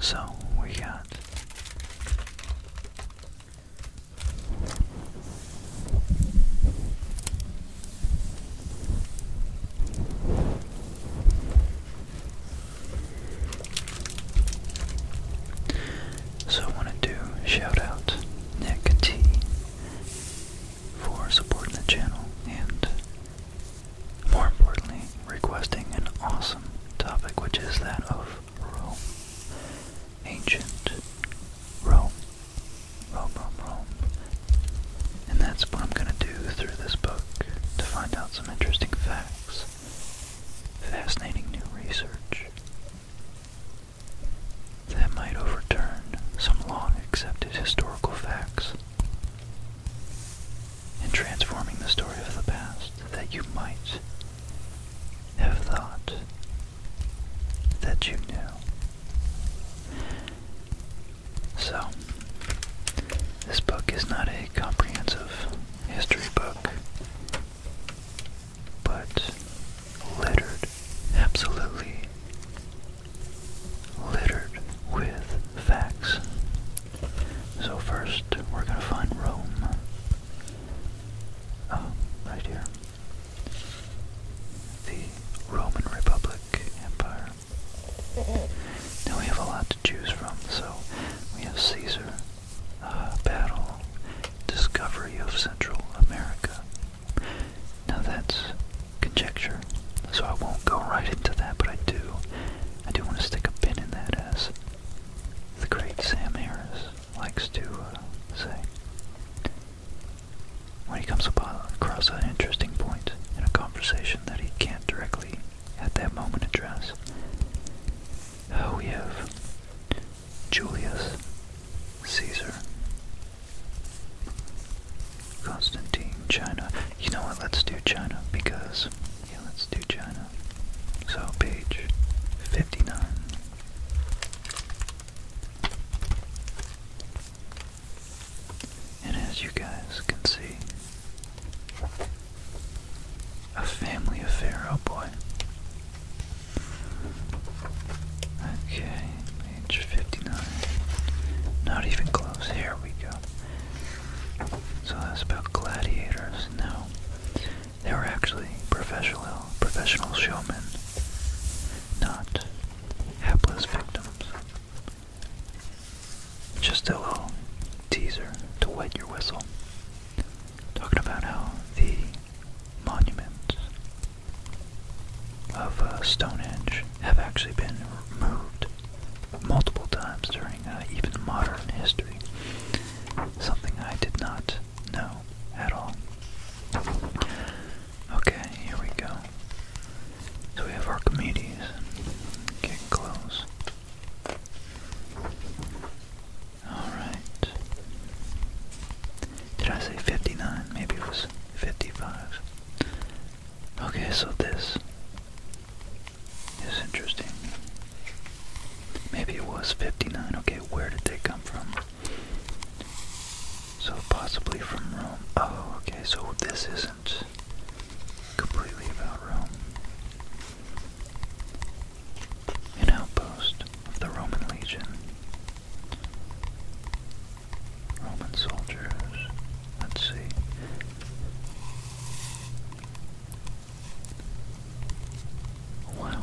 So we got so I wanted to shout out Nick T for supporting the channel and more importantly, requesting an awesome topic, which is that of Rome. Ancient Rome. Rome, Rome, Rome. And that's what I'm going to do through this book to find out some interesting facts, fascinating new research that might overturn some long accepted historical facts and transforming the story of the past that you might have thought that you knew. So, this book is not a comprehensive history book, but littered, absolutely littered with facts. So first, we're going to find Rome. Oh, right here. The Roman Republic Empire. Now we have a lot to choose from, so we have Caesar, uh, battle, discovery of Central America. Now that's conjecture, so I won't go right into that, but I do I do want to stick a pin in that as the great Sam Harris likes to uh, say. When he comes upon across an interesting point in a conversation that he can't directly at that moment address, oh, we have Julius Caesar, Constantine, China. You know what? Let's do China because yeah, let's do China. So, page 59. And as you guys can see, a family affair, oh boy. Okay, page 59. Not even close. Here we go. So that's about gladiators. No, they were actually professional, professional showmen, not helpless victims. Just a little teaser to wet your whistle. Talking about how the monuments of uh, Stonehenge have actually been moved multiple times during uh, even modern history. Something I did not know at all. Okay, here we go. So we have Archimedes. Get close. Alright. Did I say 59? Maybe it was 55. Okay, so this it's interesting. Maybe it was 59. Okay, where did they come from? So possibly from Rome. Oh, okay, so this isn't completely about Rome. An outpost of the Roman legion. Roman soldiers. Let's see. Wow.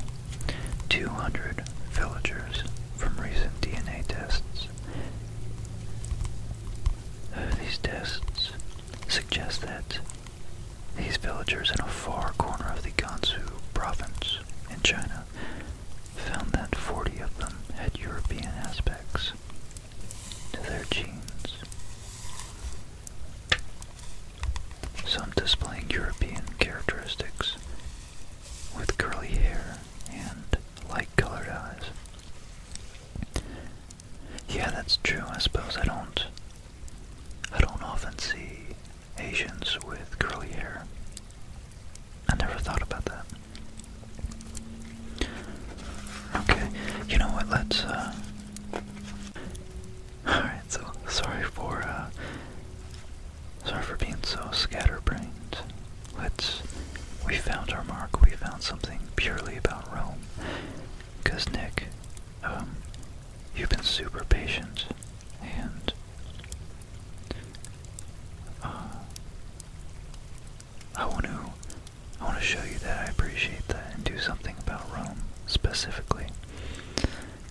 200 villagers from recent DNA tests. Uh, these tests suggest that these villagers in a far corner of the Gansu province in China found that 40 of them had European aspects to their genes some displaying European characteristics with curly hair and light-colored eyes. Yeah, that's true. I suppose I don't I don't often see Asians with curly hair. I never thought about that. Okay, you know what? Let's uh, Alright, so sorry for uh, sorry for being so scatterbrained. Let's we found our mark, we found something purely about Rome. Cause Nick, um, you've been super patient and uh, I want to I want to show you that I appreciate that and do something about Rome specifically.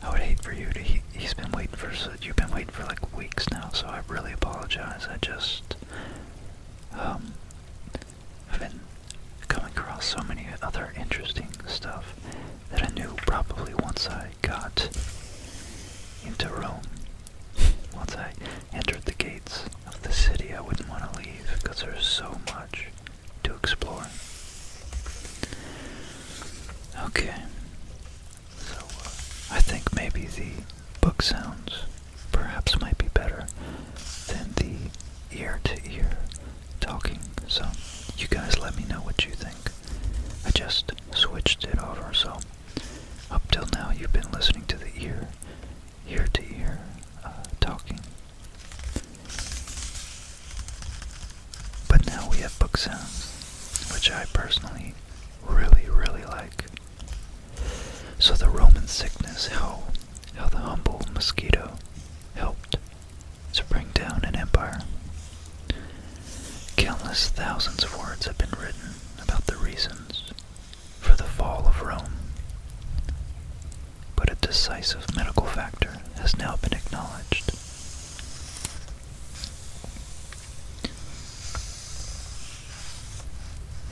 I would hate for you to. He, he's been waiting for. You've been waiting for like weeks now, so I really apologize. I just. Um, I've been coming across so many other interesting stuff that I knew probably once I got into Rome, once I entered the gates of the city, I wouldn't want to leave because there's so much to explore. Okay, so uh, I think maybe the book sounds perhaps might be better than the ear to ear talking. So you guys let me know what you think. I just switched it over, so up till now you've been listening to the ear, ear to ear uh, talking but now we have book sounds, which I personally really, really like. So the Roman sickness, how, how the humble mosquito helped to bring down an empire. Countless thousands of words have been written about the reasons for the fall of Rome but a decisive medical factor has now been acknowledged.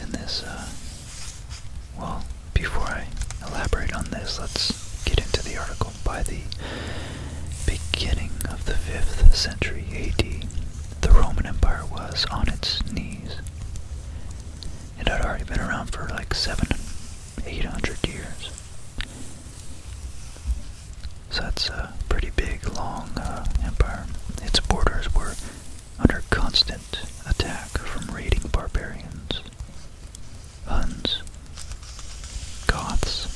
And this, uh, well, before I elaborate on this, let's get into the article. By the beginning of the 5th century AD, the Roman Empire was on its knees. It had already been around for like seven 800 years. So that's a pretty big, long uh, empire. Its borders were under constant attack from raiding barbarians, Huns, Goths,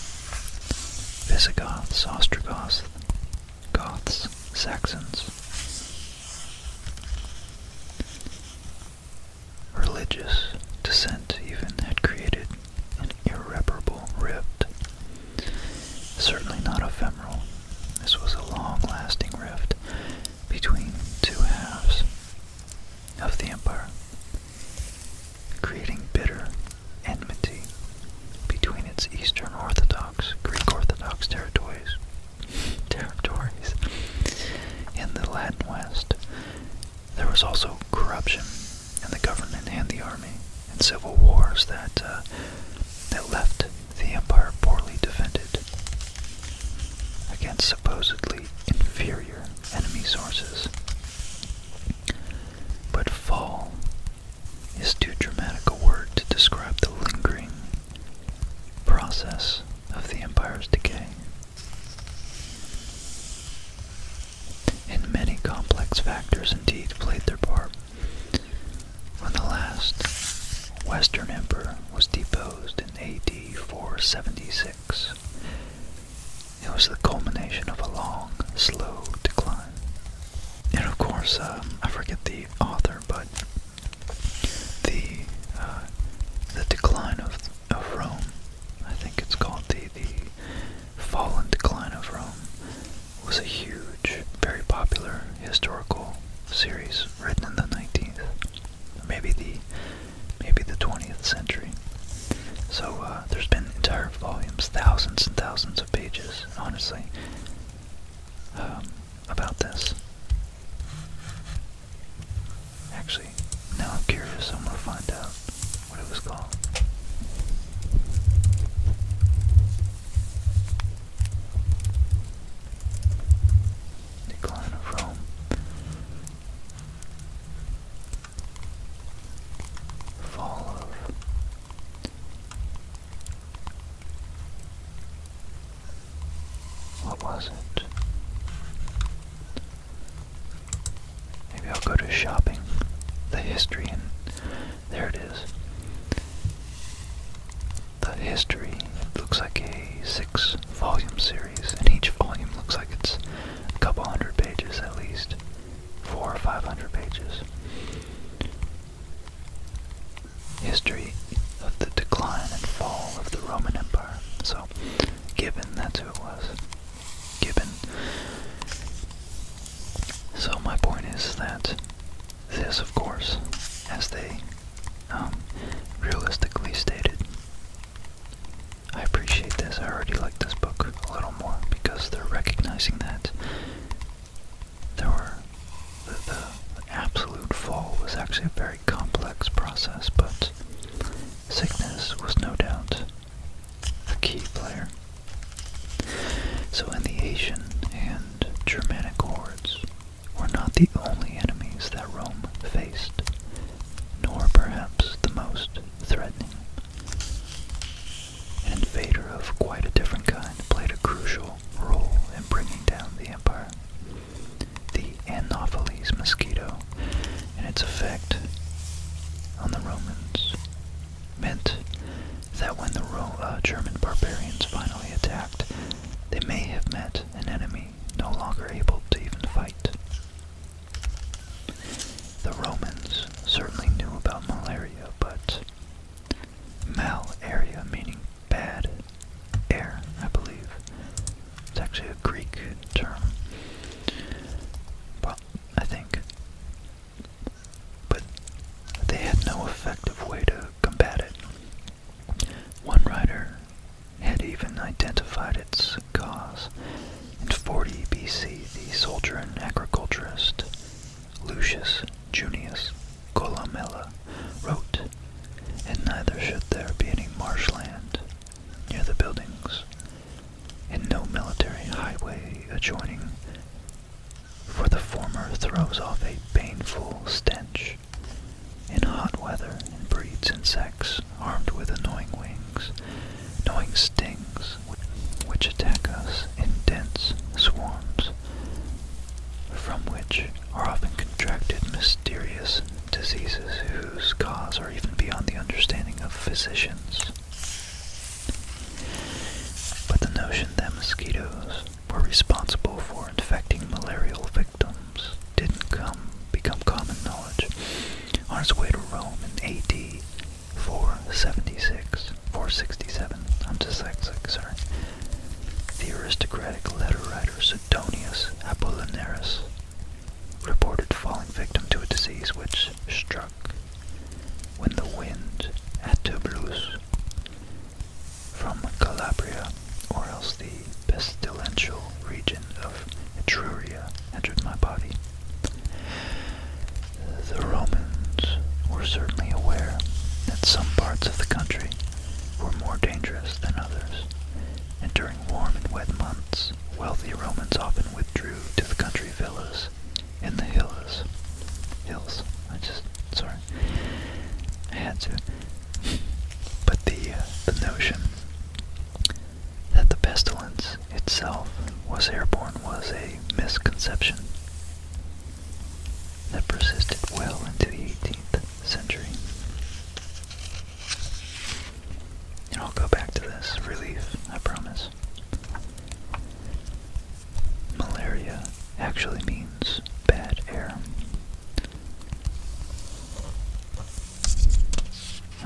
Visigoths, Ostrogoths, Goths, Saxons religious dissent even had created an irreparable rift. Certainly not ephemeral. This was a long-lasting rift between two halves of the empire, creating bitter enmity between its Eastern Orthodox, Greek Orthodox territories territories in the Latin West. There was also corruption in the government and the army, and civil wars that uh, that left the empire poorly defended against supposedly inferior enemy sources. But fall is too dramatic a word to describe the lingering process of the empire's decay. And many complex factors indeed played their part. When the last Western emperor was deposed in AD 476, it was the culmination of a long, slow decline. And of course, um, I forget the author, but the uh, the decline of of Rome. I think it's called the the fall and decline of Rome. Was a huge, very popular historical series written in the 19th, maybe the maybe the 20th century. So uh, there's been entire volumes, thousands and thousands of pages, honestly, um, about this. Actually, now I'm curious. I'm going to find out what it was called. Decline of Rome. Fall of what was it? Maybe I'll go to shopping. The history, and there it is. The history looks like a six volume series, and each volume looks like it's a couple hundred pages at least. Four or five hundred pages. History of the decline and fall of the Roman Empire. So Given that's who it was. given. So, my point is that this, of course, as they um, realistically stated, I appreciate this. I already like this book a little more because they're recognizing that there were the absolute fall was actually a very complex process, but Sickness was no doubt a key player. So in the Asian and Germanic hordes were not the only enemies that Rome faced, nor perhaps the most threatening. An invader of quite a different kind played a crucial role in bringing down the empire the Anopheles mosquito and its effect on the Romans meant that when the uh, German barbarians finally attacked, they may have met an enemy no longer able to even fight. The Romans certainly knew about malaria, but malaria meaning bad air, I believe, it's actually a Greek term. But I think. But they had no effective way to combat it. One writer had even identified its cause. In 40 BC, the soldier and agriculturist Lucius Junius Columella wrote, And neither should there be any marshland near the buildings, and no military highway adjoining, for the former throws off a painful stench in hot weather and breeds insects armed with annoying wings, annoying stings which attack us in dense swarms, from which are often contracted mysterious diseases whose cause are even beyond the understanding of physicians. But the notion that mosquitoes were responsible for infecting malarial victims didn't come become common knowledge. On its way to Rome in AD 476, 467, I'm dyslexic, sorry, the aristocratic letter writer Sidonius Apollinaris reported falling victim to a disease which struck when the wind at Toulouse from Calabria, or else the pestilential region of Etruria, entered my body. The Romans were certainly aware that some parts of the country were more dangerous than others, and during warm and wet months wealthy Romans often withdrew to the country villas in the hills. Hills. I just sorry. I had to. But the uh, the notion that the pestilence itself was airborne was a misconception that persisted well into the 18th century. I'll go back to this relief, I promise. Malaria actually means bad air.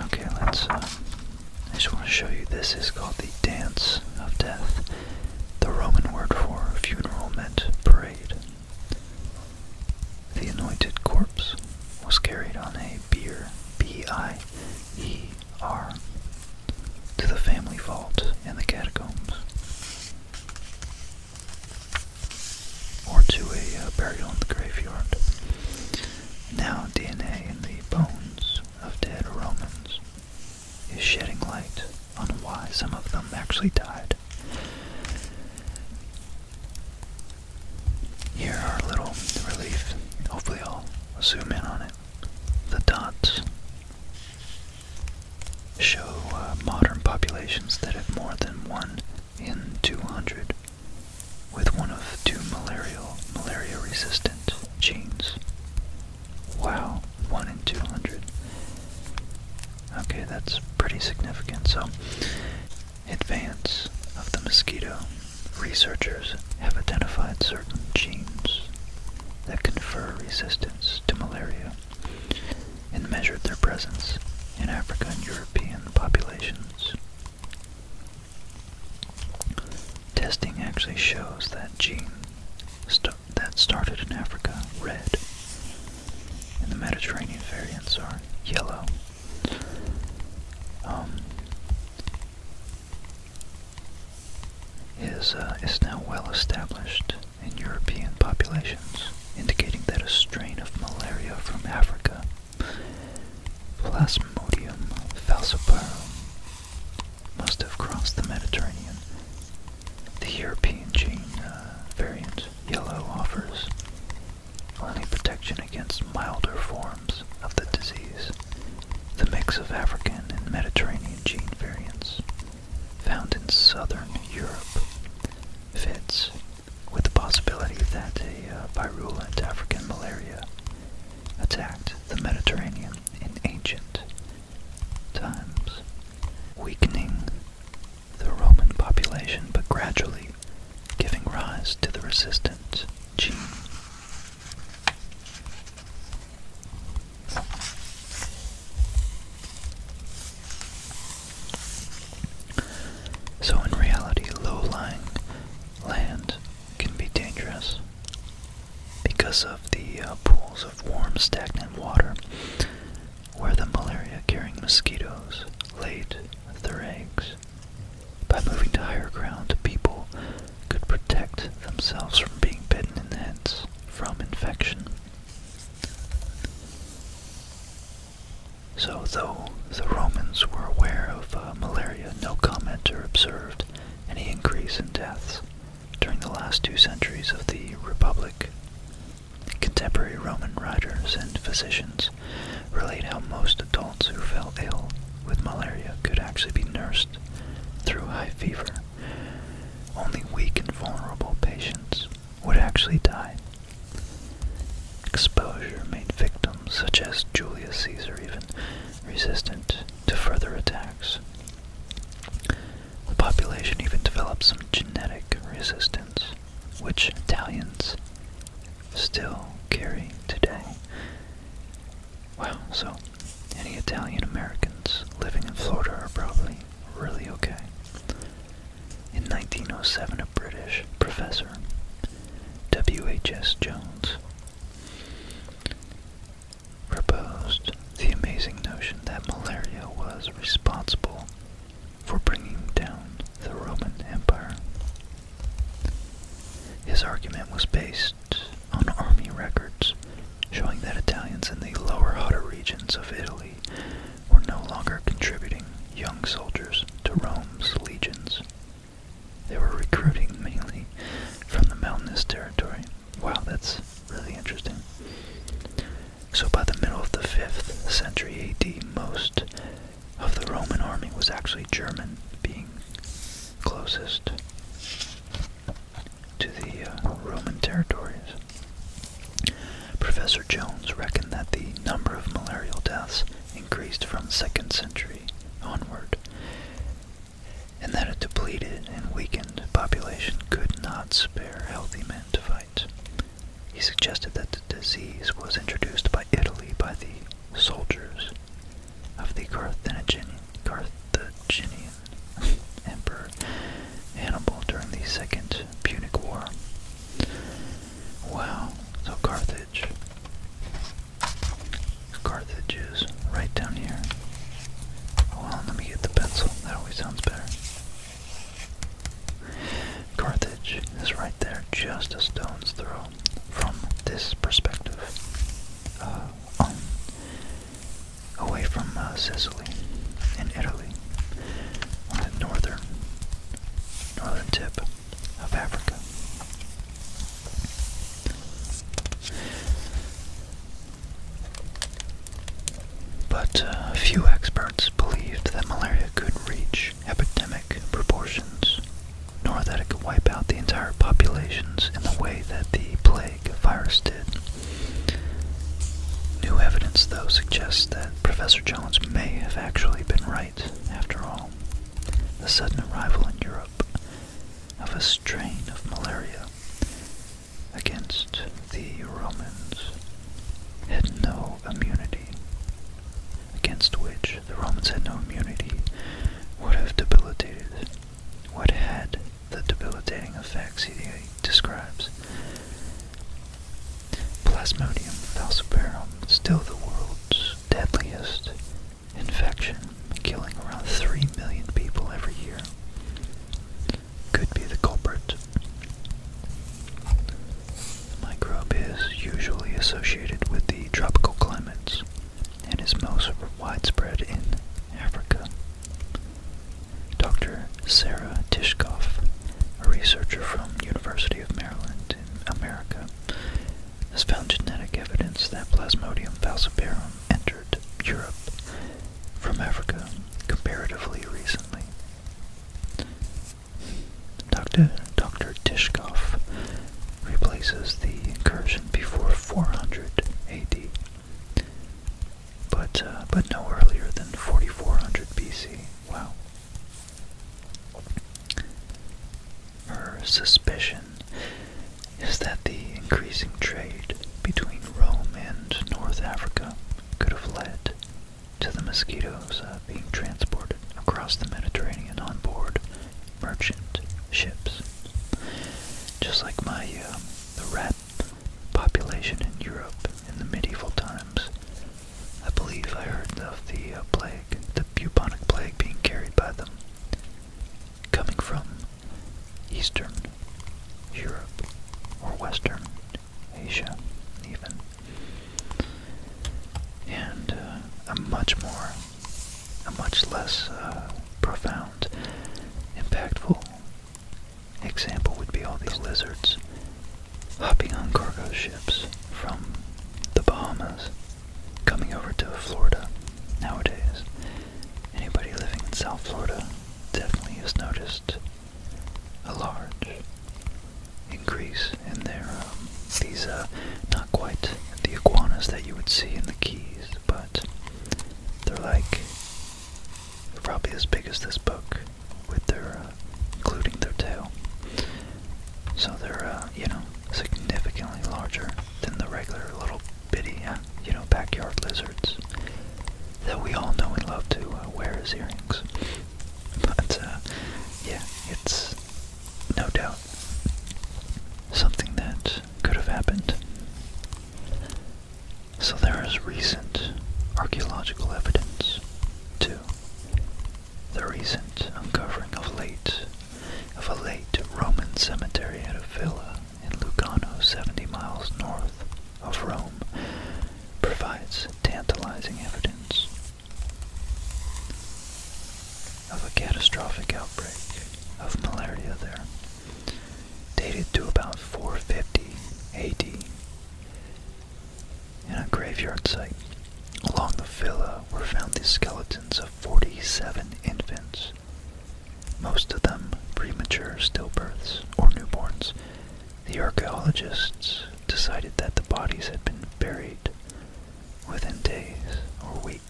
Okay, let's. Uh, I just want to show you this is called the Dance of Death. The Roman word for funeral meant parade. The anointed corpse was carried on a Beer, B I E R, to the family vault in the catacombs, or to a uh, burial in the graveyard. Now, DNA in the bones of dead Romans is shedding light on why some of them actually died. Here are little relief. Hopefully, I'll zoom in on it. The dots show uh, modern populations that have more than one in 200 with one of two malarial malaria resistant genes. Wow, one in 200. Okay, that's pretty significant. So advance of the mosquito, researchers have identified certain genes that confer resistance to malaria and measured their presence in African and European populations. Testing actually shows that gene that started in Africa red, and the Mediterranean variants are yellow. Um, is, uh, is now well established in European populations, indicating that a strain of malaria from Africa, Plasmodium falciparum, must have crossed the Mediterranean. The European gene uh, variant yellow offers only protection against milder forms of the disease, the mix of African and Mediterranean gene variants found in southern Europe fits with the possibility that a uh, virulent African malaria attacked the Mediterranean in ancient times, weakening the Roman population but gradually giving rise to the resistance gene. So, in reality, low lying land can be dangerous because of the uh, pools of warm, stagnant water where the malaria carrying mosquitoes lay their eggs. By moving to higher ground, people could protect themselves from being bitten in the from infection. So, though the Romans were aware of uh, malaria, no commenter observed any increase in deaths during the last two centuries of the Republic. Contemporary Roman writers and physicians relate how most adults who fell ill with malaria could actually be nursed through high fever. Only weak and vulnerable patients would actually die. Exposure made victims, such as Julius Caesar, even resistant to further attacks. The population even developed some genetic resistance, which Italians still carry today. Well, so any Italian Americans living in Florida are probably really okay. In 1907, a British professor, W.H.S. Jones, proposed the amazing notion that malaria was responsible for bringing down the Roman Empire. His argument was based on army records showing that Italians in the lower Hotter regions of Italy were no longer contributing young soldiers to Rome's legions. They were recruiting mainly from the mountainous territory. Wow, that's really interesting. So by the middle of the 5th century AD, most of the Roman army was actually German, being closest to the uh, Roman territories. Professor Jones reckoned that the number of malarial deaths increased from the 2nd century onward, and that a depleted and weakened population could not spare healthy men to fight. He suggested that the disease was introduced by Italy by the soldiers of the Carthaginian, Emperor Hannibal during the Second Punic War. Wow, so Carthage. Carthage is right down here. Hold oh, let me get the pencil. That always sounds better. Carthage is right there, just a stone's throw from this perspective, uh, um, away from uh, Sicily in Italy, on the northern, northern tip of Africa. But uh, few experts believed that malaria could reach epidemic proportions nor that it could wipe out the entire populations in the way that the plague virus did. New evidence, though, suggests that Professor Jones may have actually been right, after all. The sudden arrival in Europe of a strain of malaria against the Romans had no immunity against which the Romans had no immunity, would have debilitated, What had the debilitating effects he describes. Plasmodium falciparum, still the world's deadliest infection, killing around 3 million people every year, could be the culprit. The microbe is usually associated with the tropical climates and is most widespread in Africa. Dr. Sarah Tishkoff, a researcher from University of Maryland in America, has found genetic evidence that Plasmodium falciparum entered Europe from Africa comparatively recently. Dr. Dr. Tishkoff replaces the incursion before 400 AD, but, uh, but no earlier than 4400 BC. Wow. Her suspicion is that the increasing trade between Rome and North Africa could have led to the mosquitoes uh, being transported across the Mediterranean on board merchant ships. Just like my um, the rat population in Europe in the medieval times, I believe I heard of the uh, plague, the bubonic plague, being carried by them, coming from Eastern Europe or Western Asia, even, and a uh, much more a much less uh, profound, impactful example would be all these lizards hopping on cargo ships from the Bahamas, coming over to Florida nowadays. Anybody living in South Florida definitely has noticed a large increase and they're um, these uh, not quite the iguanas that you would see in the Keys, but they're like probably as big as this book, with their uh, including their tail. So they're uh, you know significantly larger than the regular little bitty uh, you know backyard lizards that we all know and love to uh, wear as earrings. But uh, yeah, it's no doubt something that could have happened. So there is recent archaeological evidence, too. The recent uncovering of late of a late Roman cemetery at a villa in Lucano, 70 miles north of Rome, provides tantalizing evidence of a catastrophic outbreak of malaria there, dated to about 450 AD, in a graveyard site. Along the villa were found the skeletons of 47 infants, most of them premature stillbirths or newborns. The archaeologists decided that the bodies had been buried within days or weeks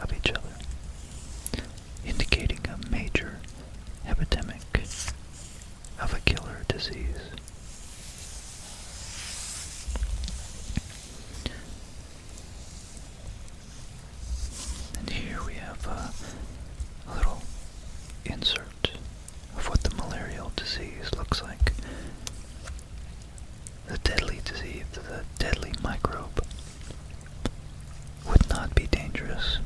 of each other, indicating a major epidemic of a killer disease. And here we have a little insert of what the malarial disease looks like the deadly disease, the deadly microbe, would not be dangerous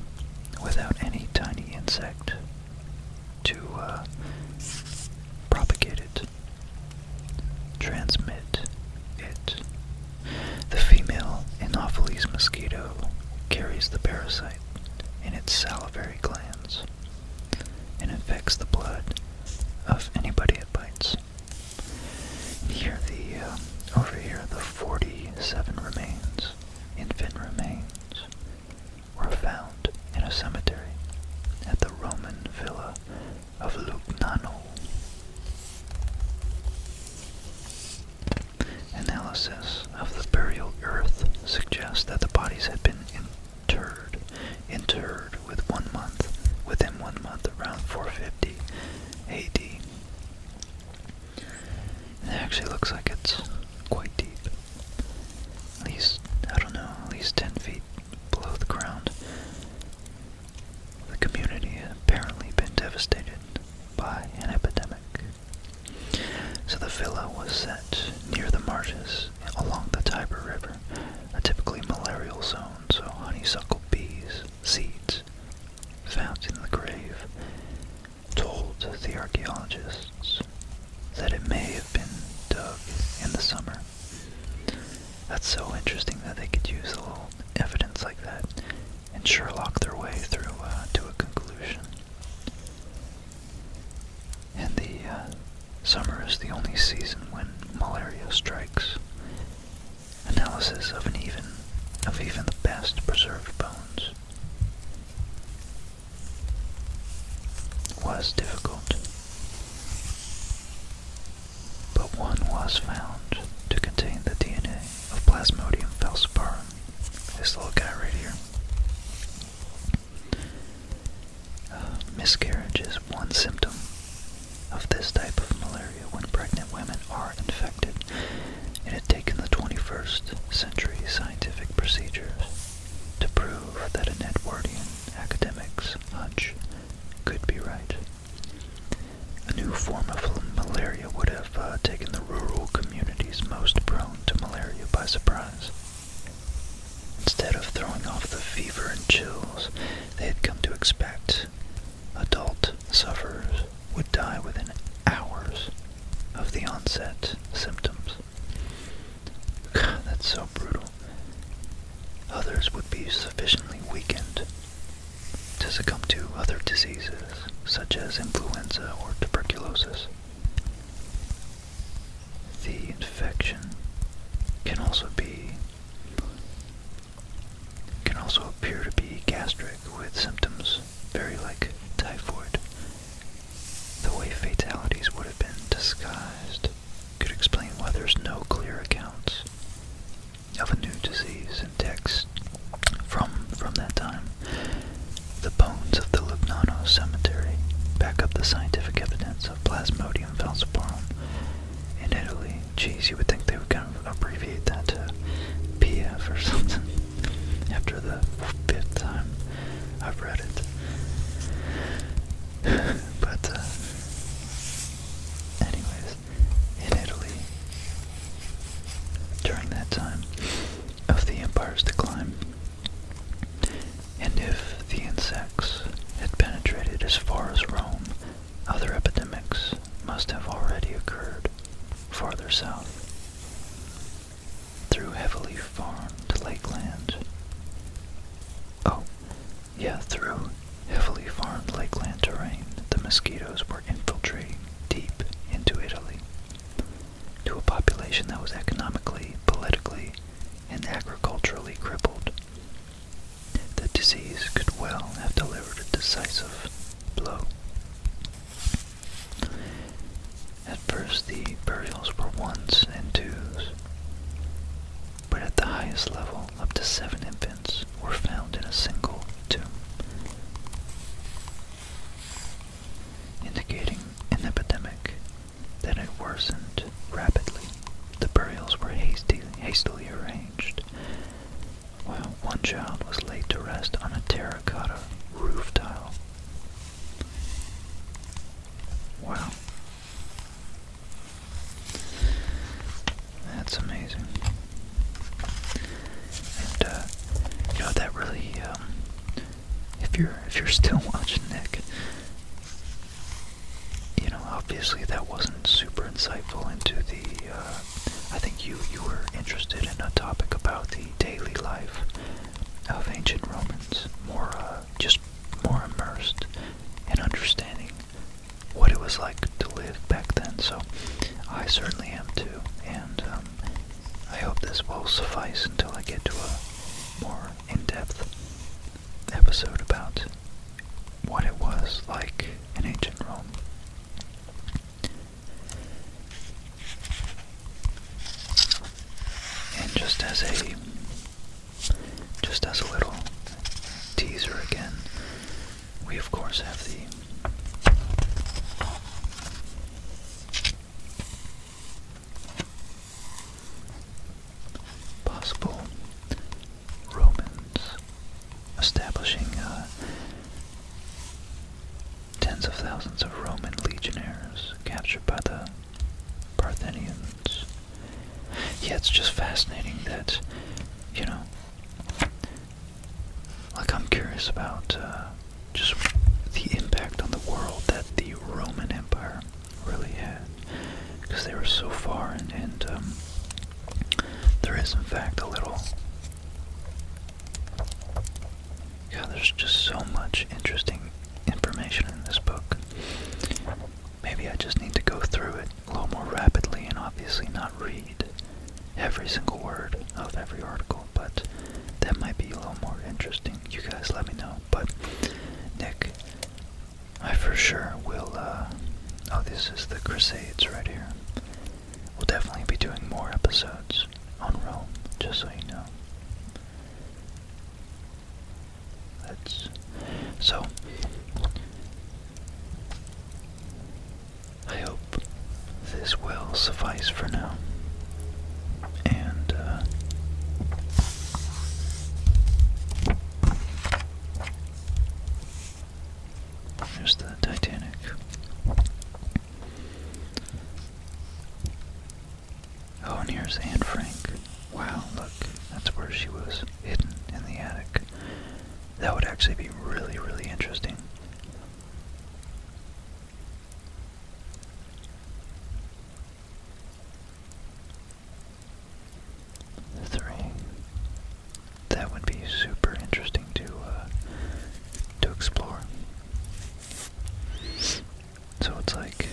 without any tiny insect to uh, propagate it, transmit it. The female Anopheles mosquito carries the parasite in its salivary glands and infects the blood of anybody it bites. Here the, uh, over here, the 47 remains, infant remains, were found in a cemetery at the Roman villa of Lugnano. Analysis of the burial earth suggests that the bodies had been Turd, interred with one month, within one month, around 450 A.D. it actually looks like it's quite deep. At least, I don't know, at least 10 feet below the ground. The community had apparently been devastated by an epidemic. So the villa was set near the marshes along the Tiber River, a typically malarial zone so honeysuckle bees, seeds found in the grave, told the archaeologists that it may have been dug in the summer. That's so interesting that they could use a little evidence like that and Sherlock their way through uh, to a conclusion. And the uh, Summer is the only season when malaria strikes. Analysis of even of even the best preserved bones was difficult, but one was found to contain the DNA of Plasmodium falciparum, this little guy right here. Uh, miscarriage is one symptom of this type of malaria when pregnant women are infected. It had taken the 21st century scientific procedures to prove that an Edwardian academic's hunch could be right. A new form of malaria would have uh, taken the rural communities most prone to malaria by surprise. Instead of throwing off the fever and chills they had come to expect. Adult sufferers would die within hours of the onset symptoms. that's so brutal. Others would be sufficiently weakened to succumb to other diseases, such as influenza or tuberculosis. The infection can also be can also appear to be gastric with symptoms very like typhoid. The way fatalities would have been disguised could explain why there's no clear accounts of a new disease in texts from from that time. The bones of the Lugnano cemetery back up the scientific evidence of Plasmodium falciparum in Italy. Jeez, you would think they would kind of abbreviate that to PF or something after the fifth time I've read it. but, uh, anyways, in Italy, during that time of the empire's decline, and if the insects had penetrated as far as Rome, other epidemics must have already occurred farther south. Through heavily farmed lakelands. Oh, yeah, through heavily farmed lakeland terrain, the mosquitoes were infiltrating deep into Italy. To a population that was economically, politically, and agriculturally crippled, the disease could well have delivered a decisive blow. At first, the burials were ones and twos, but at the highest level, up to seven infants were found in a single tomb, indicating an epidemic that had worsened rapidly the burials were hasty, hastily arranged, while one child was laid to rest on a terracotta roof tile. Wow. That's amazing. And, uh, you know, that really, um, if you're, if you're still watching Nick, you know, obviously that wasn't super insightful into the. Uh, I think you you were interested in a topic about the daily life of ancient Romans, more uh, just more immersed in understanding what it was like to live back then. So I certainly am too, and um, I hope this will suffice until I get to a more in-depth episode about what it was like in ancient Rome. And just as a just as a little teaser again, we of course have the possible Romans establishing uh, tens of thousands of Roman legionaries captured by the Parthians. Yeah, it's just fascinating that, you know, like I'm curious about uh, just the impact on the world that the Roman Empire really had because they were so far, and, um, there is, in fact, a little. Yeah, there's just so much interesting information in this book. Maybe I just need to go through it a little more rapidly and obviously not read every single word of every article, but that might be a little more interesting. You guys let me know. But Nick I for sure will, uh, oh, this is the Crusades right here. We'll definitely be doing more episodes on Rome, just so you know. That's, so, I hope this will suffice for now. And, uh, there's the Titanic. Oh, and here's Anne Frank. Wow, look, that's where she was hidden in the attic. That would actually be really, really interesting three. That would be super interesting to uh, to explore. So it's like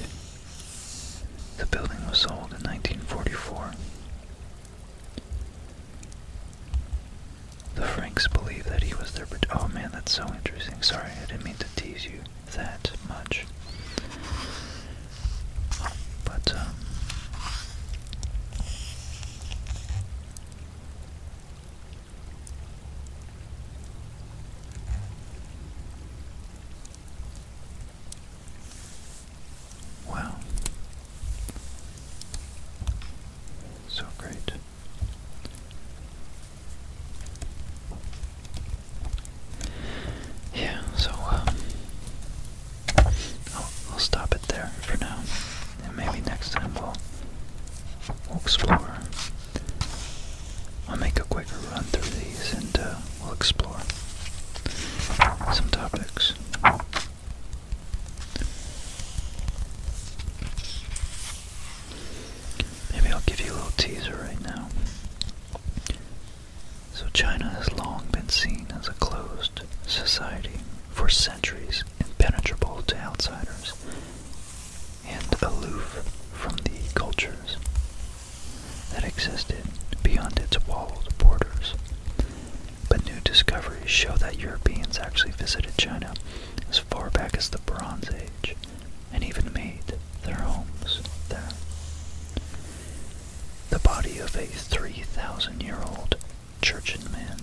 the building was sold in 1944. The Franks believe that he was their. Oh man, that's so interesting. Sorry, I didn't mean to tease you that much. But, um. Wow. So great. Yeah, so, um, I'll, I'll stop it there for now, and maybe next time we'll we'll explore. I'll make a quicker run through these, and uh, we'll explore some topics. Maybe I'll give you a little teaser right now. So China has long been seen as a closed society for centuries, impenetrable to outsiders and aloof from the cultures that existed beyond its walled borders. But new discoveries show that Europeans actually visited China as far back as the Bronze Age and even made their homes there. The body of a 3,000 year old Church and Man,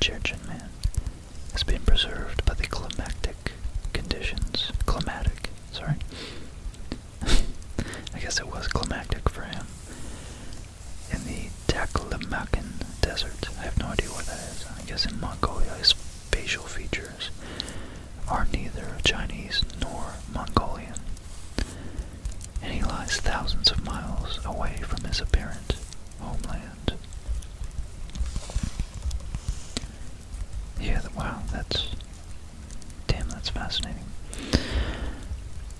Church and Man, has been preserved by the climatic conditions. Climatic, sorry. I guess it was climatic for him. In the Taklamakan Desert, I have no idea what that is. I guess in Mongolia, his facial features are neither Chinese nor Mongolian and he lies thousands of miles away from his apparent homeland. Yeah, wow, that's. Damn, that's fascinating.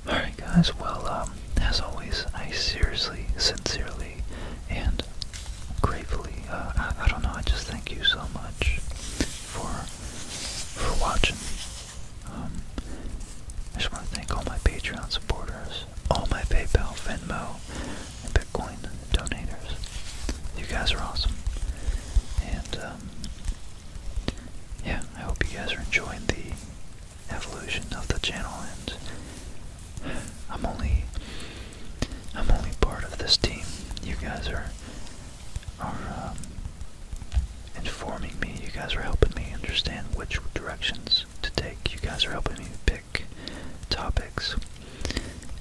Alright, guys, well, um, as always, I seriously, sincerely, and gratefully, uh, I don't know, I just thank you so much for for watching um, I just want to thank all my Patreon supporters, all my PayPal, Venmo, and Bitcoin donators. You guys are awesome. And, um, yeah, I hope you guys are enjoying the evolution of the channel. And I'm only, I'm only part of this team. You guys are, are, um, informing me. You guys are helping me understand which directions to take. You guys are helping me pick topics.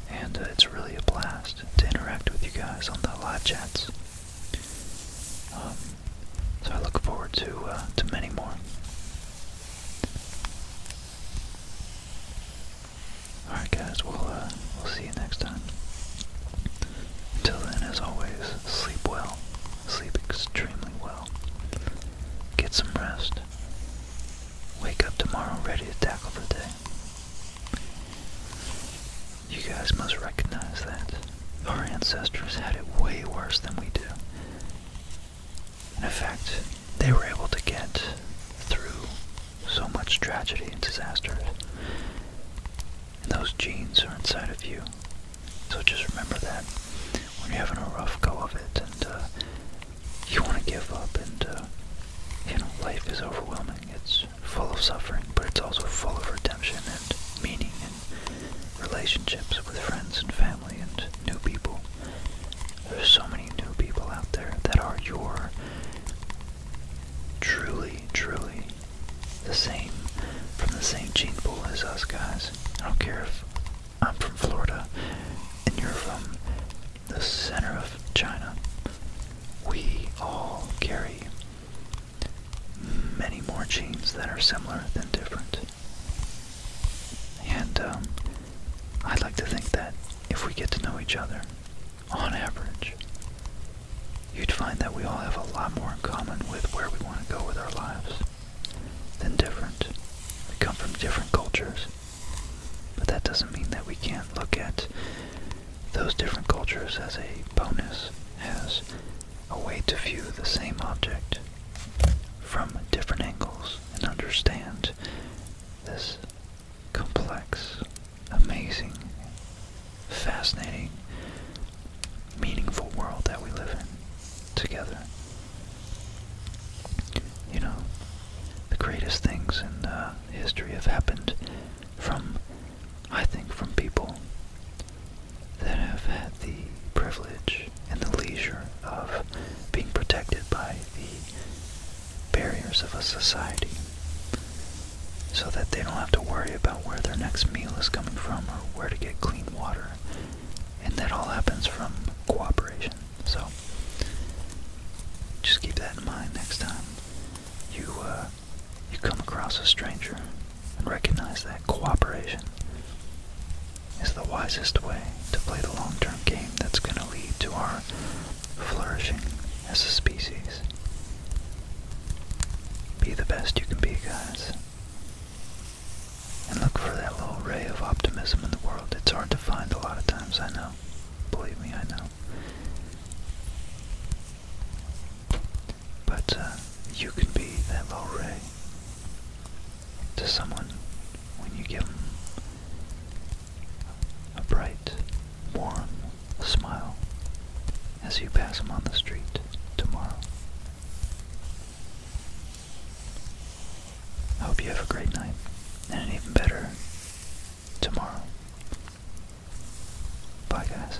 And uh, it's really a blast to interact with you guys on the live chats. Um, so I look forward to uh, to many more. All right, guys. We'll uh, we'll see you next time. Until then, as always, sleep well sleep extremely well. Get some rest. Wake up tomorrow ready to tackle the day. You guys must recognize that. Our ancestors had it way worse than we do. in effect, they were able to get through so much tragedy and disaster and those genes are inside of you. So just remember that when you're having a rough go of it and uh, you want to give up and, uh, you know, life is overwhelming. It's full of suffering, but it's also full of redemption and meaning and relationships with friends and family and new people. There's so many new people out there that are your truly, truly the same from the same gene pool as us guys. I don't care if I'm from Florida and you're from the center of China. We all carry many more genes that are similar than different. And um, I'd like to think that if we get to know each other, on average, you'd find that we all have a lot more in common with where we want to go with our lives than different. We come from different cultures. But that doesn't mean that we can't look at those different cultures as a bonus, as a way to view the same object from different angles and understand this complex, amazing, fascinating meaningful world that we live in together. You know, the greatest things in uh, history have happened from, I think, from people that have had the privilege and the leisure of being protected by the barriers of a society so that they don't have to worry about where their next meal is coming from or where to get clean water and that all happens from cooperation. So just keep that in mind next time you uh, you come across a stranger and recognize that cooperation is the wisest way to play the long-term game that's going to lead to our flourishing as a species. Be the best you can be, guys. And look for that little ray of optimism in the world. It's hard to find a lot of times, I know. Believe me, I know. But uh, you can be that little ray to someone when you give them a bright, warm smile as you pass them on the street tomorrow. I hope you have a great night and an even better tomorrow. Bye, guys.